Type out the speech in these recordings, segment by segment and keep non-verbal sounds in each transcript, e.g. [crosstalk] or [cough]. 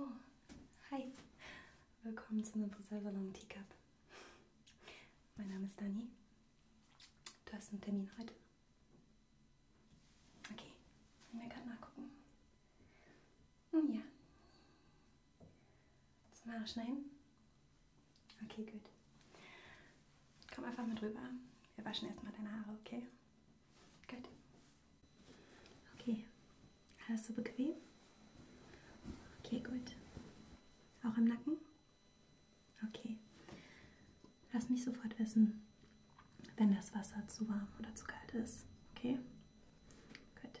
Oh, hi. Willkommen zum Friseursalon Teacup. Mein Name ist Dani. Du hast einen Termin heute? Okay, ich mir gerade nachgucken. Ja. Zum Haare schneiden? Okay, gut. Komm einfach mit rüber. Wir waschen erstmal deine Haare, okay? Gut. Okay. Alles so bequem? Okay, gut. Auch im Nacken? Okay. Lass mich sofort wissen, wenn das Wasser zu warm oder zu kalt ist. Okay? Gut.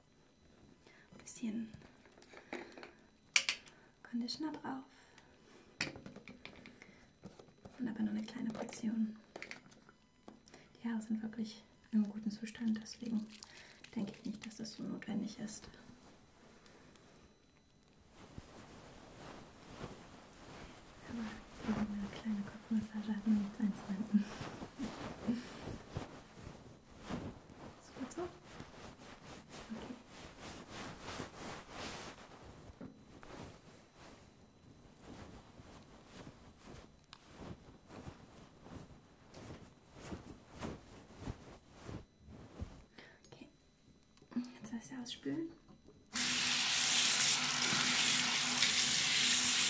Ein bisschen Conditioner drauf. Und aber nur eine kleine Portion. Die Haare sind wirklich in einem guten Zustand, deswegen denke ich nicht, dass das so notwendig ist. Aber eine kleine Kopfmassage hat man nichts einzuwenden. So geht's auch? Okay. Okay. Jetzt lass ich ausspülen.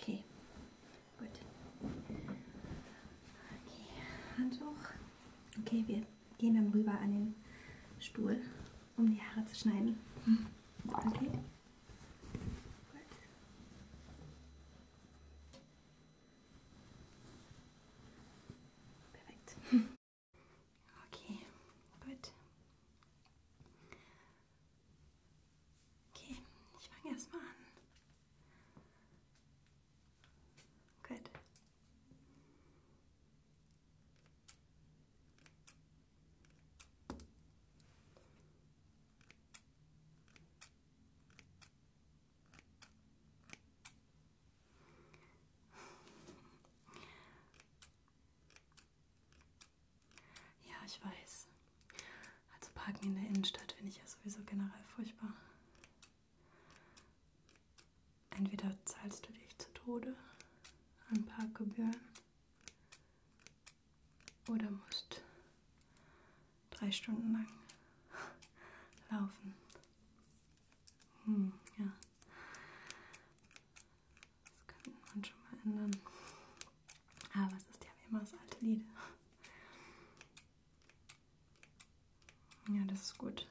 Okay, gut. Okay, Handtuch. Okay, wir gehen dann rüber an den Stuhl, um die Haare zu schneiden. Hm. Okay. Perfekt. Okay, gut. Okay, ich fange erstmal an. Gut. Ja, ich weiß. Also Parken in der Innenstadt finde ich ja sowieso generell furchtbar. Entweder zahlst du dich zu Tode an Parkgebühren oder musst drei Stunden lang laufen. Hm, ja. Das könnte man schon mal ändern. Aber ah, es ist ja wie immer das alte Lied. Ja, das ist gut.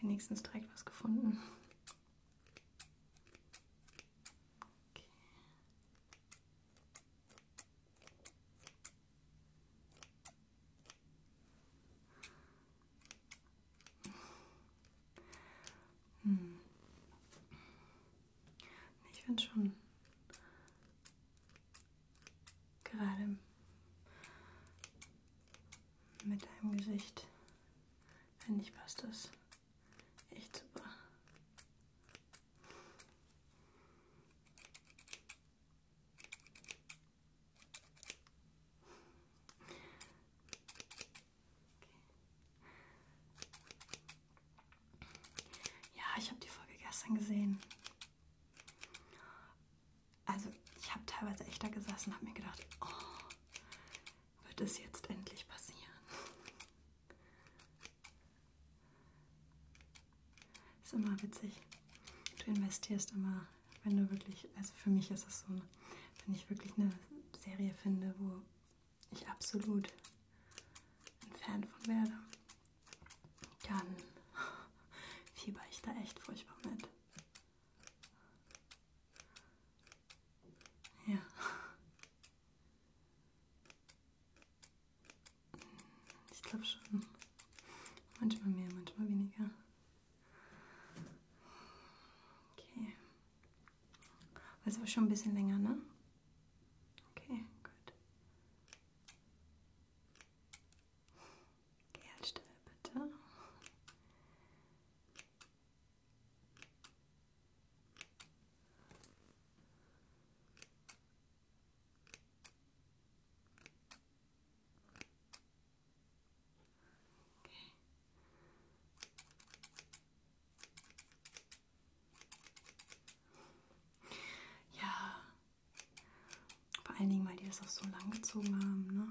Wenigstens direkt was gefunden. Okay. Hm. Ich finde schon gerade mit deinem Gesicht, wenn ich passt das. Echt super. Okay. Ja, ich habe die Folge gestern gesehen. Also ich habe teilweise echt da gesessen und habe mir gedacht, oh, wird es jetzt endlich passieren. Ist immer witzig. Du investierst immer, wenn du wirklich, also für mich ist es so, wenn ich wirklich eine Serie finde, wo ich absolut ein Fan von werde, dann fieber ich da echt furchtbar mit. Ja. Ich glaube schon. Manchmal mehr, manchmal weniger. Okay. War aber schon ein bisschen länger, ne? Okay, gut. Okay, halt still, bitte. Okay. Ja, vor allen Dingen, weil die das auch so lang gezogen haben, ne?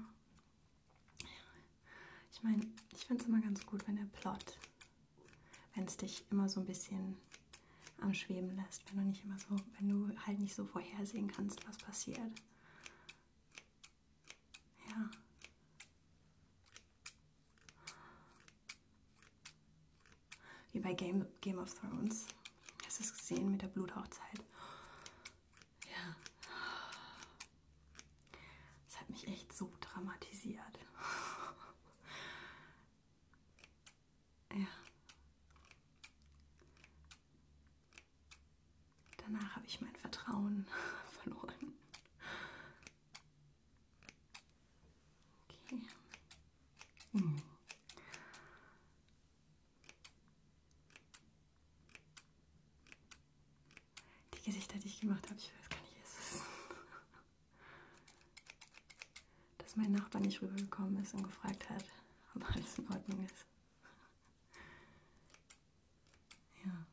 Ich meine, ich finde es immer ganz gut, wenn der Plot, wenn es dich immer so ein bisschen am Schweben lässt, wenn du nicht immer so, wenn du halt nicht so vorhersehen kannst, was passiert. Ja. Wie bei Game, Game of Thrones. Hast du es gesehen mit der Bluthochzeit? Ja. Das hat mich echt so dramatisiert. [laughs] Ja. Danach habe ich mein Vertrauen [laughs] verloren. Okay. Hm. Die Gesichter, die ich gemacht habe, ich weiß gar nicht, es ist. Dass mein Nachbar nicht rübergekommen ist und gefragt hat, ob alles in Ordnung ist. Ja.